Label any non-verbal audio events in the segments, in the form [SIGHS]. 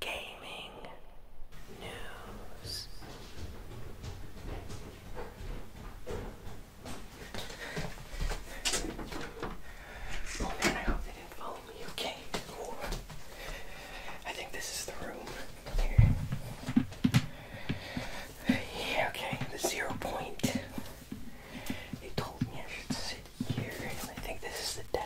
gaming news. Oh man, I hope they didn't follow me. Okay, I think this is the room. Yeah, okay, the zero point. They told me I should sit here, and I think this is the deck.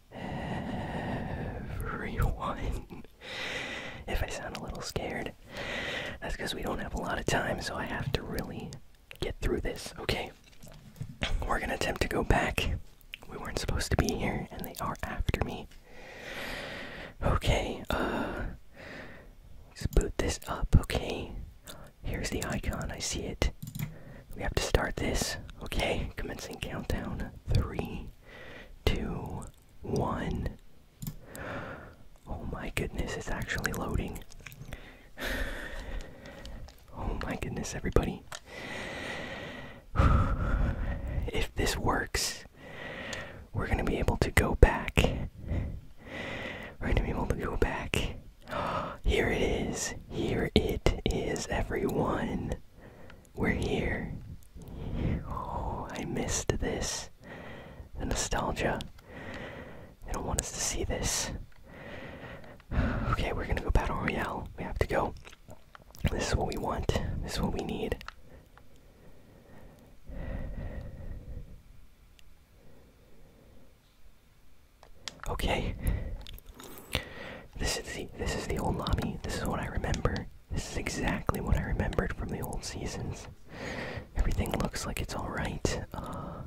everyone. if I sound a little scared, that's because we don't have a lot of time, so I have to really get through this, okay? We're gonna attempt to go back. We weren't supposed to be here, and they are after me. Okay, uh. Let's boot this up, okay? Here's the icon, I see it. We have to start this, okay? Commencing countdown. Three, two, one. Oh my goodness, it's actually loading. [SIGHS] Oh my goodness, everybody. [SIGHS] If this works, we're gonna be able to go back. We're gonna be able to go back. [GASPS] Here it is. Here it is, everyone. We're here. Oh, I missed this. The nostalgia. They don't want us to see this. Okay, we're gonna go Battle Royale. We have to go. This is what we want. This is what we need. Okay. This is the this is the old lobby. This is what I remember. This is exactly what I remembered from the old seasons. Everything looks like it's alright. Uh,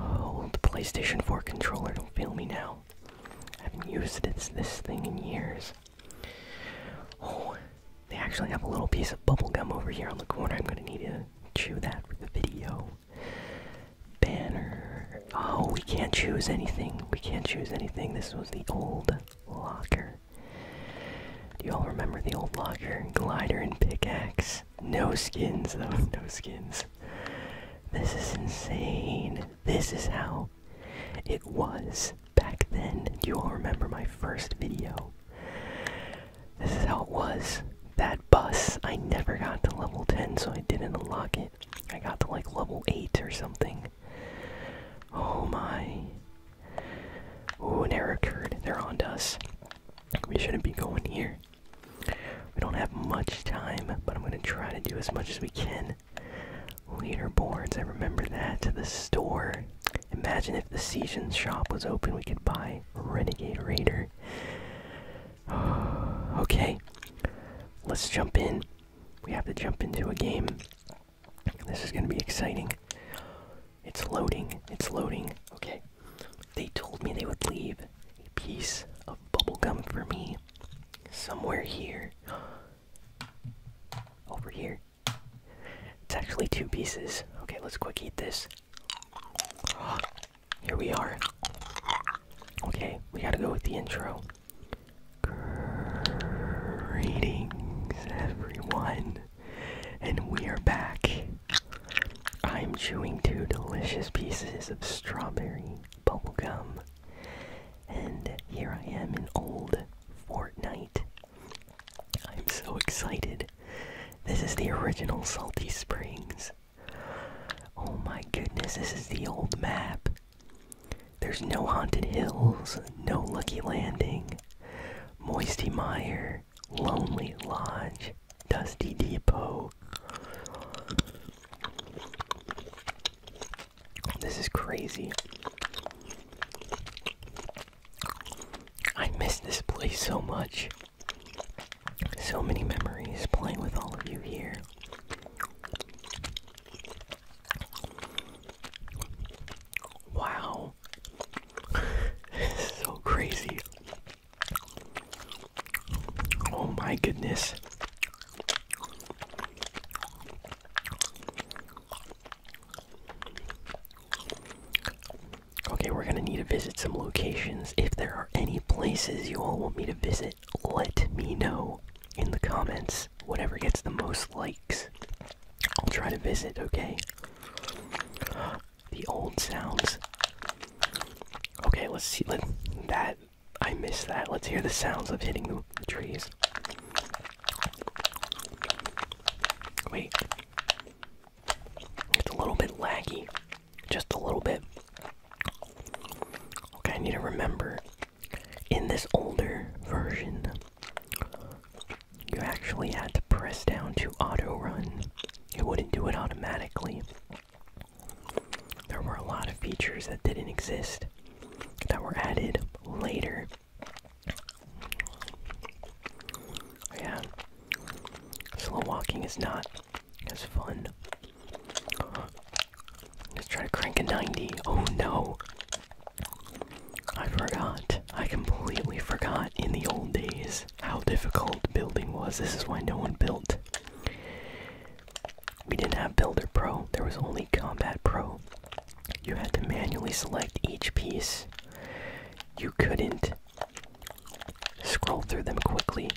old oh, PlayStation 4 controller, don't fail me now. I haven't used this, this thing in years. Oh, they actually have a little piece of bubble gum over here on the corner. I'm gonna need to chew that for the video. Banner. Oh, we can't choose anything. We can't choose anything. This was the old locker. Do you all remember the old locker? Glider and pickaxe. No skins, though. [LAUGHS] No skins. This is insane. This is how it was back then. Do you all remember my first video? This is how it was. That bus, I never got to level 10, so I didn't unlock it. I got to like level 8 or something. Oh my. Oh, an error occurred. They're on to us. We shouldn't be going here. We don't have much time, but I'm going to try to do as much as we can. Leaderboards, I remember that. To the store. Imagine if the Season shop was open, we could buy Renegade Raider. [SIGHS] okay, let's jump in. We have to jump into a game. This is going to be exciting. It's loading. It's loading. Okay. They told me they would leave a piece of bubblegum for me somewhere here. Over here. It's actually two pieces. Okay, let's quick eat this. Here we are. Okay, we gotta go with the intro. Greetings, everyone, and we are back. I'm chewing two delicious pieces of strawberry bubble gum, and here I am in old Fortnite. I'm so excited. This is the original Salty Springs. Oh my goodness, this is the old map. There's no Haunted Hills, no Lucky Landing, Moisty Mire, Lonely Lodge, Dusty Depot. This is crazy. I miss this place so much. So many memories playing with all of you here. Wow. [LAUGHS] so crazy. Oh my goodness. Okay, we're gonna need to visit some locations. If there are any places you all want me to visit, let me know in the comments whatever gets the most likes. I'll try to visit, okay? The old sounds. Okay, let's see. Let that I miss that. Let's hear the sounds of hitting the trees. Wait. It's a little bit laggy. Just a little bit. Okay, I need to remember in this older version, you actually had to press down to auto run. It wouldn't do it automatically. There were a lot of features that didn't exist that were added later. Yeah, slow walking is not as fun Let's try to crank a 90. Oh no! I forgot. I completely forgot in the old days how difficult building was. This is why no one built. We didn't have Builder Pro, there was only Combat Pro. You had to manually select each piece. You couldn't scroll through them quickly.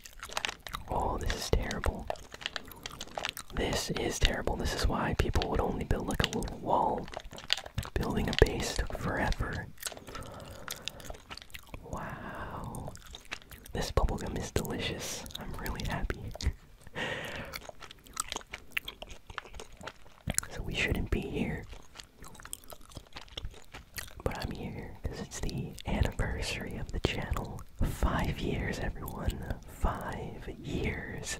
Oh, this is terrible. This is terrible. This is why people would only build like a little wall. Building a base took forever. Wow. This bubblegum is delicious. I'm really happy. [LAUGHS] so we shouldn't be here. But I'm here because it's the anniversary of the channel. Five years, everyone. Five years.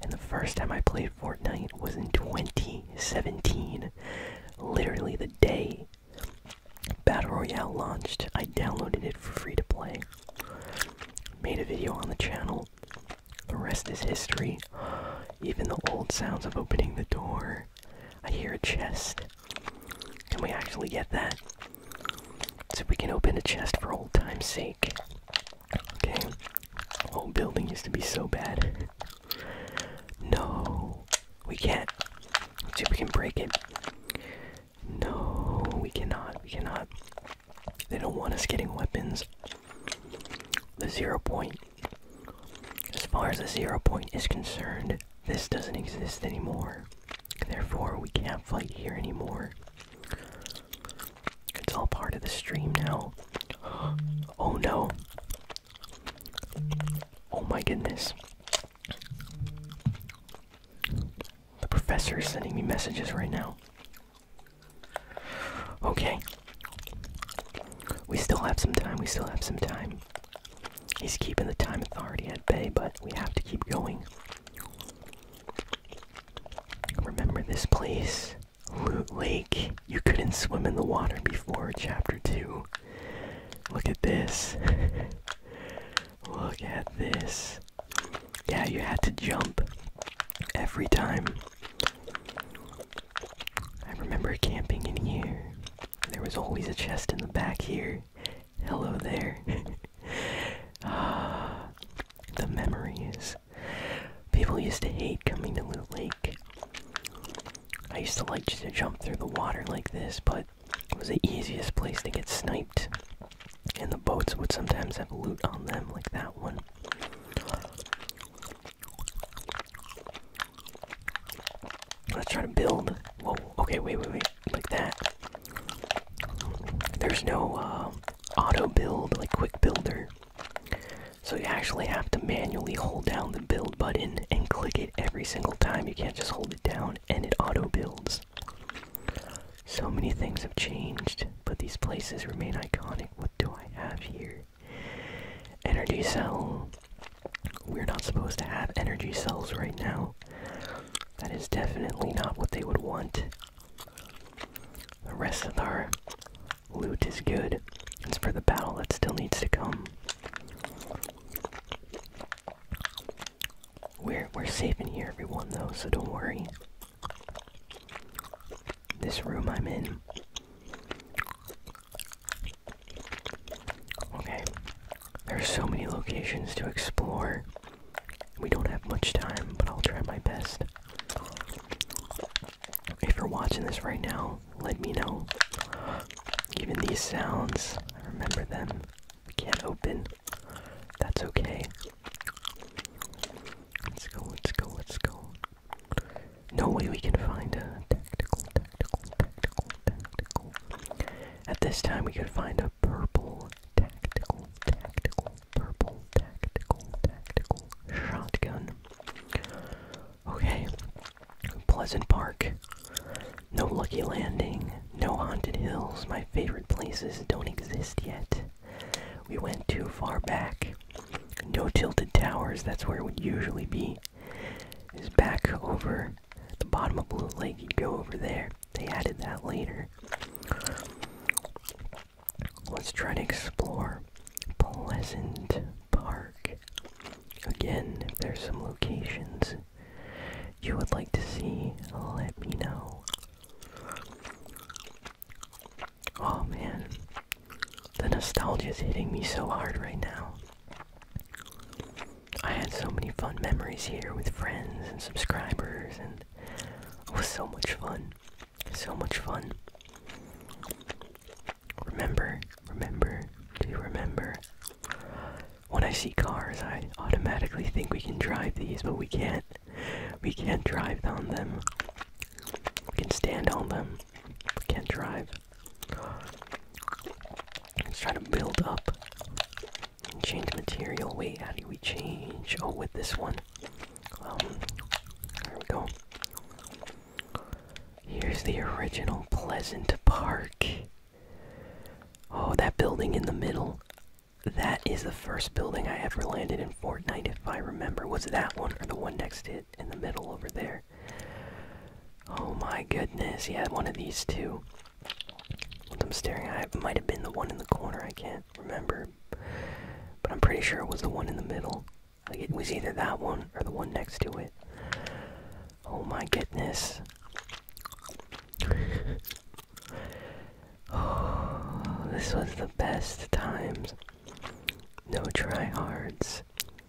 And the first time I played Fortnite was in 2017. Literally the day Battle Royale launched, I downloaded it for free to play. Made a video on the channel. The rest is history. Even the old sounds of opening the door. I hear a chest. Can we actually get that? So we can open a chest for old time's sake. Okay. Whole building used to be so bad. no, we can't. Let's see if we can break it. No, we cannot. We cannot. They don't want us getting weapons. The zero point. As far as the zero point is concerned, this doesn't exist anymore. Therefore, we can't fight here anymore. It's all part of the stream now. [GASPS] Oh no. Oh my goodness. The professor is sending me messages right now. Okay. We still have some time, we still have some time. He's keeping the time authority at bay, but we have to keep going. Remember this place? Loot Lake. You couldn't swim in the water before chapter 2. Look at this. [LAUGHS] Look at this. Yeah, you had to jump every time. I remember camping in here. There was always a chest in the back here. Hello there. [LAUGHS] Ah, [GASPS] the memories. People used to hate coming to Loot Lake. I used to like to jump through the water like this, but it was the easiest place to get sniped. And the boats would sometimes have loot on them, like that one. Let's try to build. Whoa, okay, wait, wait, wait like that. There's no uh, auto build, like quick builder. So you actually have to manually hold down the build button and click it every single time. You can't just hold it down and it auto builds. So many things have changed, but these places remain iconic. What do I have here? Energy cell. We're not supposed to have energy cells right now that is definitely not what they would want. The rest of our loot is good. It's for the battle that still needs to come. We're we're safe in here, everyone, though, so don't worry. This room I'm in. Okay, there are so many locations to explore. We don't have much time, but I'll try my best. If you're watching this right now, let me know. Even these sounds, I remember them. I can't open. That's okay. Let's go, let's go, let's go. No way we can find a tactical, tactical, tactical, tactical. At this time, we could find a purple tactical, tactical, purple tactical, tactical shotgun. Okay, Pleasant Park. No lucky landing, no haunted hills. My favorite places don't exist yet. We went too far back. No tilted towers, that's where it would usually be. Is back over the bottom of Blue Lake. You go over there. They added that later. Let's try to explore Pleasant Park. Again, if there's some locations you would like to see, let me know. Oh man, the nostalgia is hitting me so hard right now. I had so many fun memories here with friends and subscribers, and it was so much fun. So much fun. Remember, remember, do you remember? When I see cars, I automatically think we can drive these, but we can't. We can't drive on them. We can stand on them. We can't drive. Let's try to build up Change material. Wait, how do we change? Oh, with this one. Um, there we go. Here's the original Pleasant Park. Oh, that building in the middle. That is the first building I ever landed in Fortnite, if I remember. Was that one or the one next to it in the middle over there? Oh my goodness, he had one of these too. I'm staring at might have been the one in the corner. I can't remember, but I'm pretty sure it was the one in the middle. it was either that one or the one next to it. Oh my goodness. oh, [SIGHS] this was the best times. No tryhards.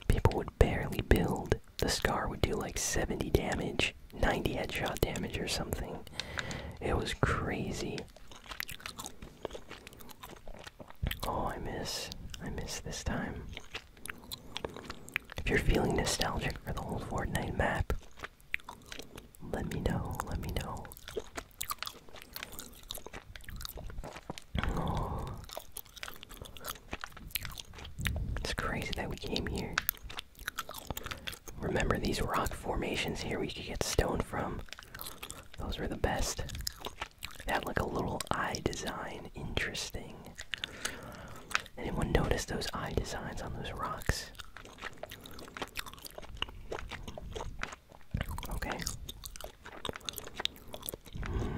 People would barely build. The scar would do like 70 damage. 90 headshot damage or something. It was crazy. Oh, I missed. I miss this time. If you're feeling nostalgic for the old Fortnite map, let me know. Let me know. Oh. It's crazy that we came here. Remember these rock formations here we could get stone from? Those were the best. That like a little eye design. Interesting. Anyone notice those eye designs on those rocks? Okay. Hmm.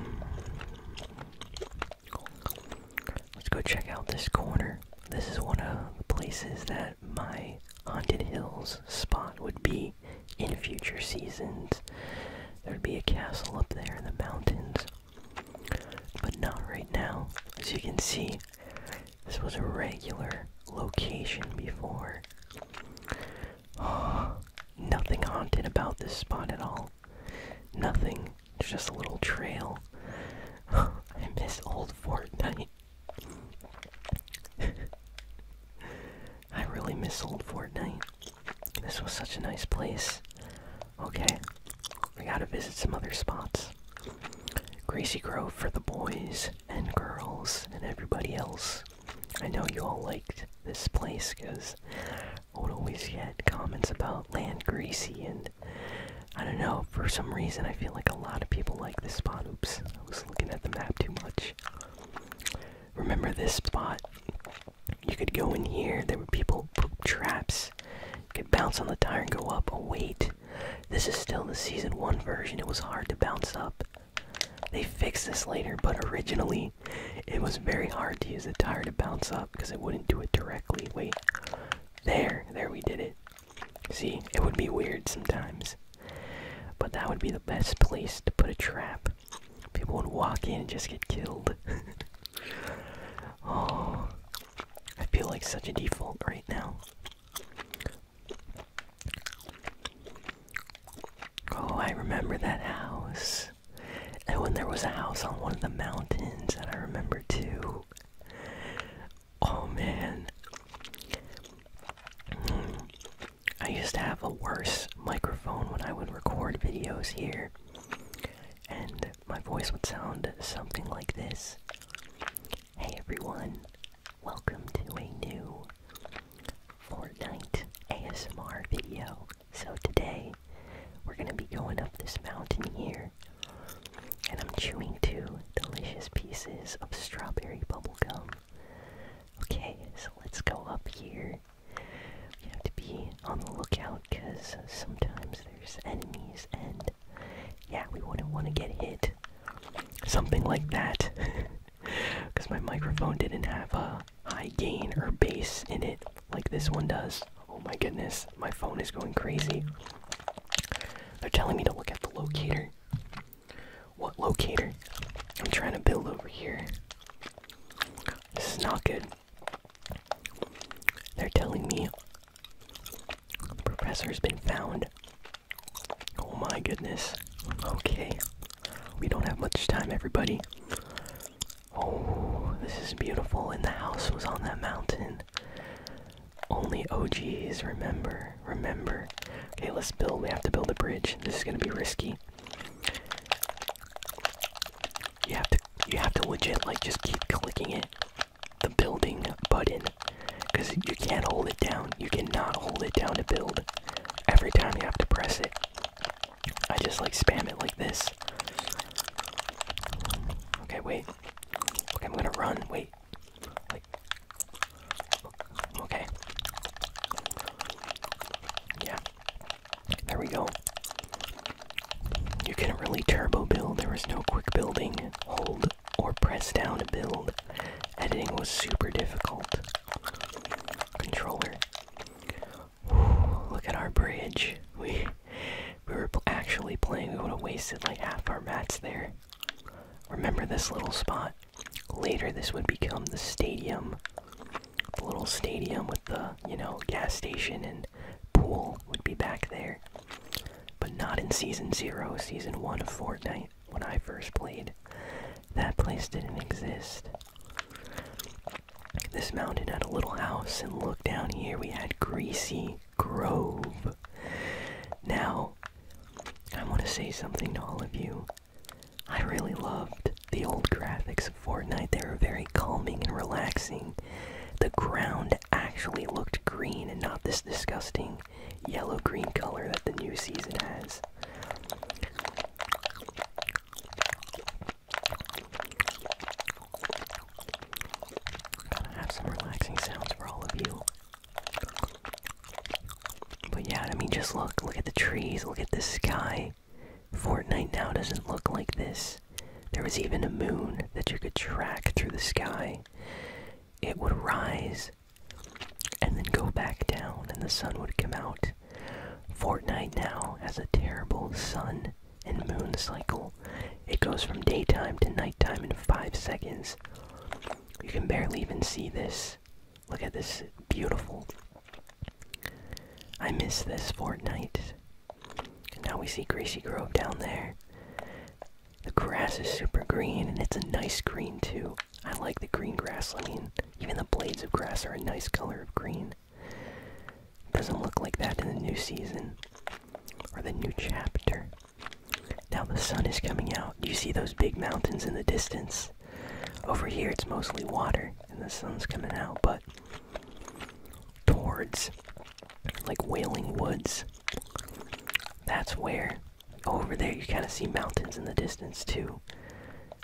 Let's go check out this corner. This is one of the places that my Haunted Hills spot would be in future seasons. There'd be a castle up there in the mountains. But not right now. As you can see, this was a regular location before. [GASPS] nothing haunted about this spot at all. Nothing just a little trail. [LAUGHS] I miss old Fortnite. [LAUGHS] I really miss old Fortnite. This was such a nice place. Okay, we gotta visit some other spots. Gracie Grove for the boys and girls and everybody else. I know you all liked this place because I would always get comments about Land Greasy and I don't know, for some reason I feel like a lot of people like this spot. Oops, I was looking at the map too much. Remember this spot? You could go in here, there were people poop traps. You could bounce on the tire and go up. Oh, wait. This is still the season one version. It was hard to bounce up. They fixed this later, but originally it was very hard to use the tire to bounce up because it wouldn't do it directly. Wait. There, there we did it. See, it would be weird sometimes. But that would be the best place to put a trap. People would walk in and just get killed. [LAUGHS] oh, I feel like such a default right now. Oh, I remember that house. And when there was a house on one of the mountains that I remember too. Oh man. I used to have a worse microphone when I would record videos here, and my voice would sound something like this. Hey everyone, welcome to a new Fortnite ASMR video. So today, we're gonna be going up this mountain here, and I'm chewing two delicious pieces of strawberry bubblegum. Okay, so let's go up here. We have to be on the lookout because sometimes there's enemies, and yeah, we wouldn't want to get hit. Something like that. Because [LAUGHS] my microphone didn't have a high gain or bass in it like this one does. Oh my goodness, my phone is going crazy. They're telling me to look at the locator. What locator? I'm trying to build over here. This is not good. They're telling me the professor's been found. Oh my goodness. Okay. We don't have much time, everybody. Oh, this is beautiful, and the house was on that mountain. Only OGs remember. Remember. Okay, let's build. We have to build a bridge. This is gonna be risky. You have to you have to legit like just keep clicking it. The building button. Cause you can't hold it down. You cannot hold it down to build. Every time you have to press it. I just like spam it like this. Okay, wait. Okay, I'm gonna run. Wait. Wait. Okay. Yeah. There we go. You can not really turbo build, there was no quick building. Hold or press down to build. Editing was super difficult. Controller. look at our bridge. We we were actually playing, we would have wasted like half our mats there. Remember this little spot. Later, this would become the stadium. The little stadium with the, you know, gas station and pool would be back there. But not in Season 0, Season 1 of Fortnite, when I first played. That place didn't exist. This mountain had a little house, and look down here, we had Greasy. Grove. Now, I want to say something to all of you. I really loved the old graphics of Fortnite. They were very calming and relaxing. The ground actually looked green and not this disgusting yellow green color that the new season has. Gotta have some relaxing sounds for all of you. But yeah, I mean, just look. Look at the trees. Look at the sky. Fortnite now doesn't look like this. There was even a moon that you could track through the sky. It would rise and then go back down, and the sun would come out. Fortnite now has a terrible sun and moon cycle. It goes from daytime to nighttime in 5 seconds. You can barely even see this. Look at this. Beautiful. I miss this Fortnite. now we see Gracie Grove down there. The grass is super green, and it's a nice green too. I like the green grass. I mean, even the blades of grass are a nice color of green. Doesn't look like that in the new season or the new chapter. Now the sun is coming out. Do you see those big mountains in the distance? Over here it's mostly water and the sun's coming out, but towards like Wailing Woods, that's where. Over there you kind of see mountains in the distance too.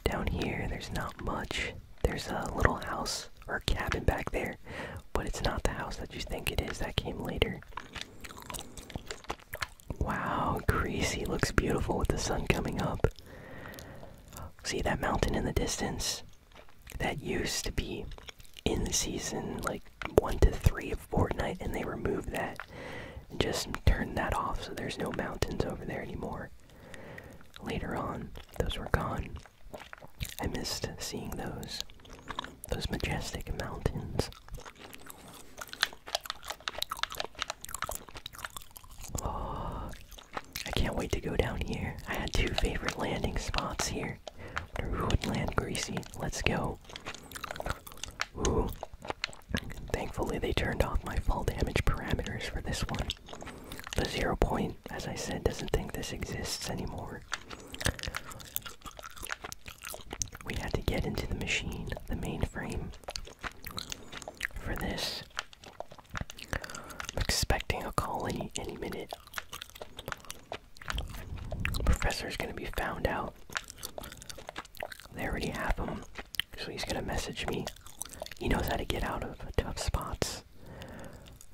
Down here there's not much. There's a little house house or cabin back there, but it's not the house that you think it is. That came later. Wow, Greasy looks beautiful with the sun coming up. See that mountain in the distance? That used to be in the season like 1 to 3 of Fortnite, and they removed that and just turned that off so there's no mountains over there anymore. Later on, those were gone. I missed seeing those those majestic mountains. Oh, I can't wait to go down here. I had two favorite landing spots here. Woodland Greasy. Let's go. Ooh. Thankfully they turned off my fall damage parameters for this one. The zero point, as I said, doesn't think this exists anymore. We had to get into the machine, the mainframe, for this. I'm expecting a call any, any minute. Professor's gonna be found out. They already have him, so he's gonna message me. He knows how to get out of tough spots.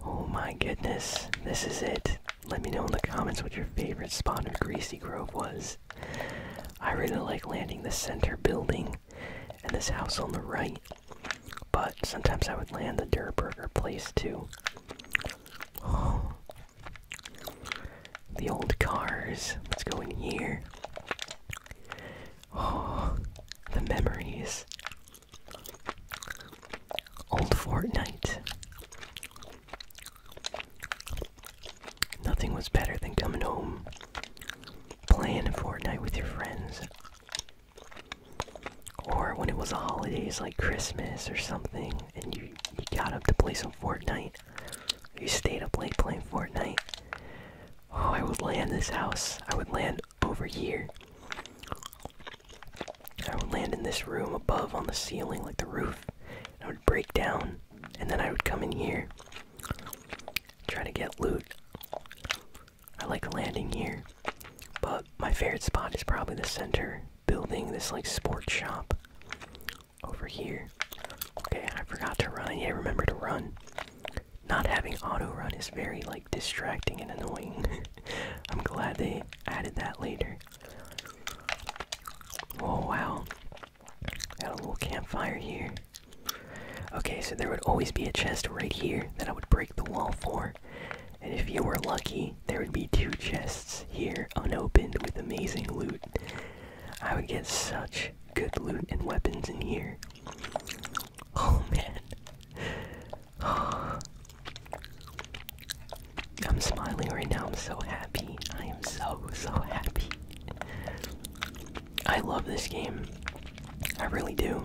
Oh my goodness, this is it. Let me know in the comments what your favorite spot in Greasy Grove was. I really like landing the center building and this house on the right, but sometimes I would land the Durburger place too. The old cars. Let's go in here. Oh, the memories. Old Fortnite. Nothing was better than coming home, playing Fortnite with your friends. Or when it was the holidays like Christmas or something, and you, you got up to play some Fortnite. You stayed up late playing Fortnite. Oh, I would land this house. I would land over here. I would land in this room above on the ceiling, like the roof. And I would break down, and then I would come in here, try to get loot. I like landing here, but my favorite spot is probably the center building, this like sports shop over here. Okay, I forgot to run. Yeah, remember to run. Not having auto run is very like distracting and annoying. [LAUGHS] I'm glad they added that later. Oh wow. Got a little campfire here. Okay, so there would always be a chest right here that I would break the wall for. And if you were lucky, there would be two chests here unopened with amazing loot. I would get such good loot and weapons in here. [LAUGHS] Oh man. [GASPS] I'm smiling right now. I'm so happy. I am so, so happy. I love this game. I really do.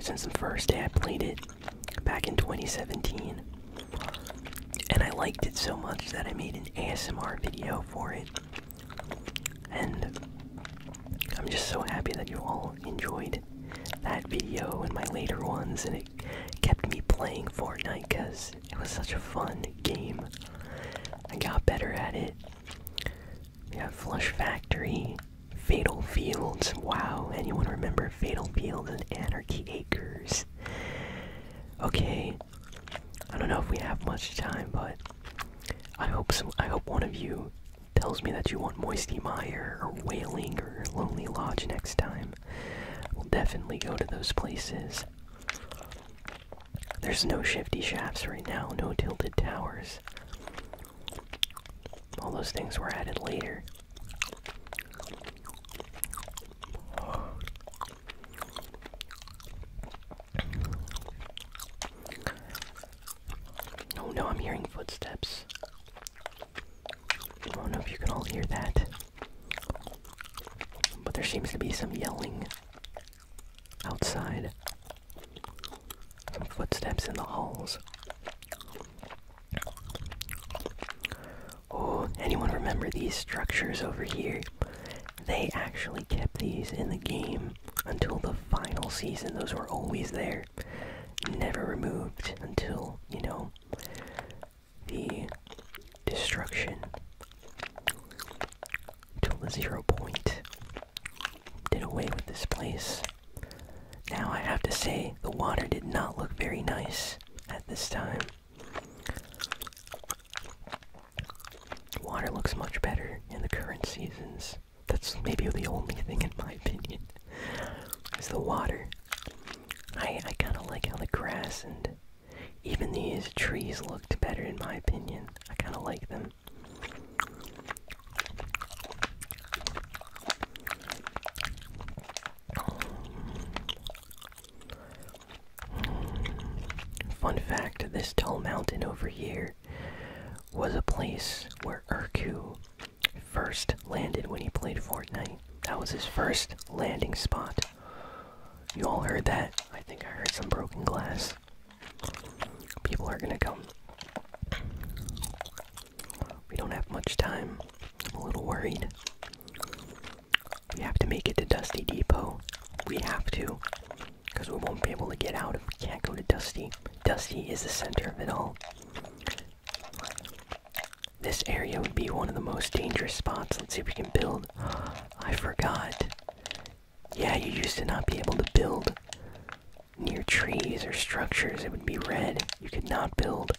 Since the first day I played it back in 2017. And I liked it so much that I made an ASMR video for it. And I'm just so happy that you all enjoyed that video and my later ones, and it kept me playing Fortnite because it was such a fun game. I got better at it. We got Flush Factory, Fatal Fields. Wow, anyone remember Fatal Fields and Anarchy Acres? Okay, I don't know if we have much time, but I hope I hope one of you Tells me that you want Moisty Mire or Wailing or Lonely Lodge next time. We'll definitely go to those places. There's no shifty shafts right now, no tilted towers. All those things were added later. Oh no, I'm hearing footsteps. I don't know if you can all hear that. But there seems to be some yelling outside. Some footsteps in the halls. Oh, anyone remember these structures over here? They actually kept these in the game until the final season. Those were always there never removed until, you know, the destruction until the zero point did away with this place. Now I have to say, the water did not look very nice at this time. Water looks much better in the current seasons. That's maybe the only thing, in my opinion, is the water. I I kind of like how the grass and even these trees looked better in my opinion. I kind of like them. Fun fact, this tall mountain over here was a place where Urku first landed when he played Fortnite. That was his first landing spot. You all heard that? I think I heard some broken glass. People are gonna come. We don't have much time. a little worried. We have to make it to Dusty Depot. We have to. Because we won't be able to get out if we can't go to Dusty. Dusty is the center of it all. This area would be one of the most dangerous spots. Let's see if we can build. [GASPS] I forgot. Yeah, you used to not be able to build near trees or structures. It would be red. You could not build.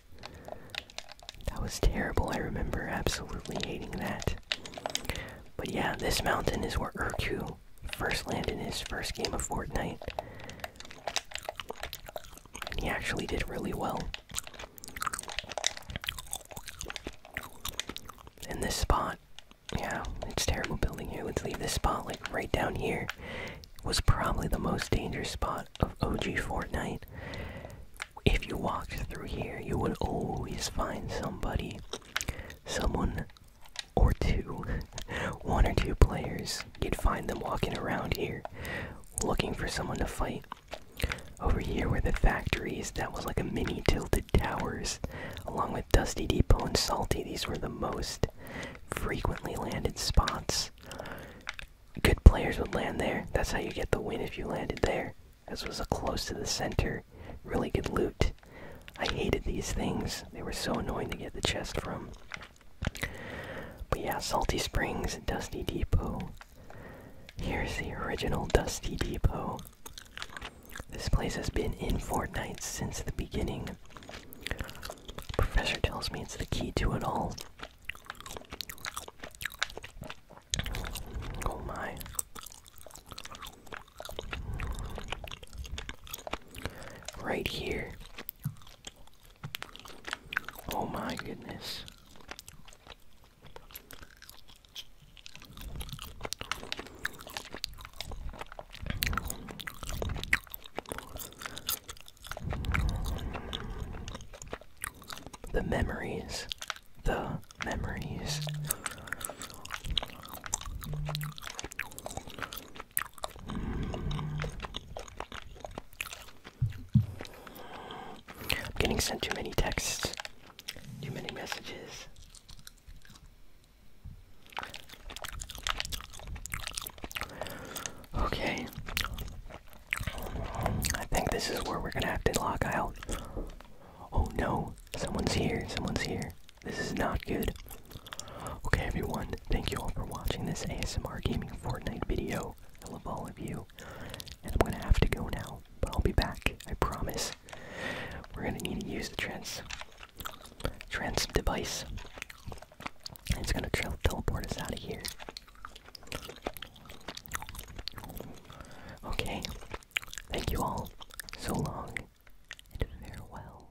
That was terrible. I remember absolutely hating that. But yeah, this mountain is where Urku first landed in his first game of Fortnite and he actually did really well. In this spot, yeah, it's terrible building here. Let's leave this spot like right down here. Was probably the most dangerous spot of OG Fortnite. If you walked through here, you would always find somebody, someone or two, [LAUGHS] one or two players you'd find them walking around here looking for someone to fight. Over here were the factories, that was like a mini tilted towers, along with Dusty Depot and Salty, these were the most frequently landed spots. Good players would land there, that's how you get the win if you landed there. This was a close to the center, really good loot. I hated these things, they were so annoying to get the chest from. But yeah, Salty Springs, Dusty Depot. Here's the original Dusty Depot. This place has been in Fortnite since the beginning. Professor tells me it's the key to it all. Oh my. Right here Oh my goodness. The memories, the memories. I'm getting sent too many texts, too many messages. Okay. I think this is where we're gonna have to lock out. Oh no, someone's here, someone's here. This is not good. Okay, everyone, thank you all for watching this ASMR Gaming Fortnite video. I love all of you. And I'm gonna have to go now, but I'll be back, I promise. We're gonna need to use the trans trans device. It's gonna teleport us out of here. Okay. Thank you all. So long and farewell.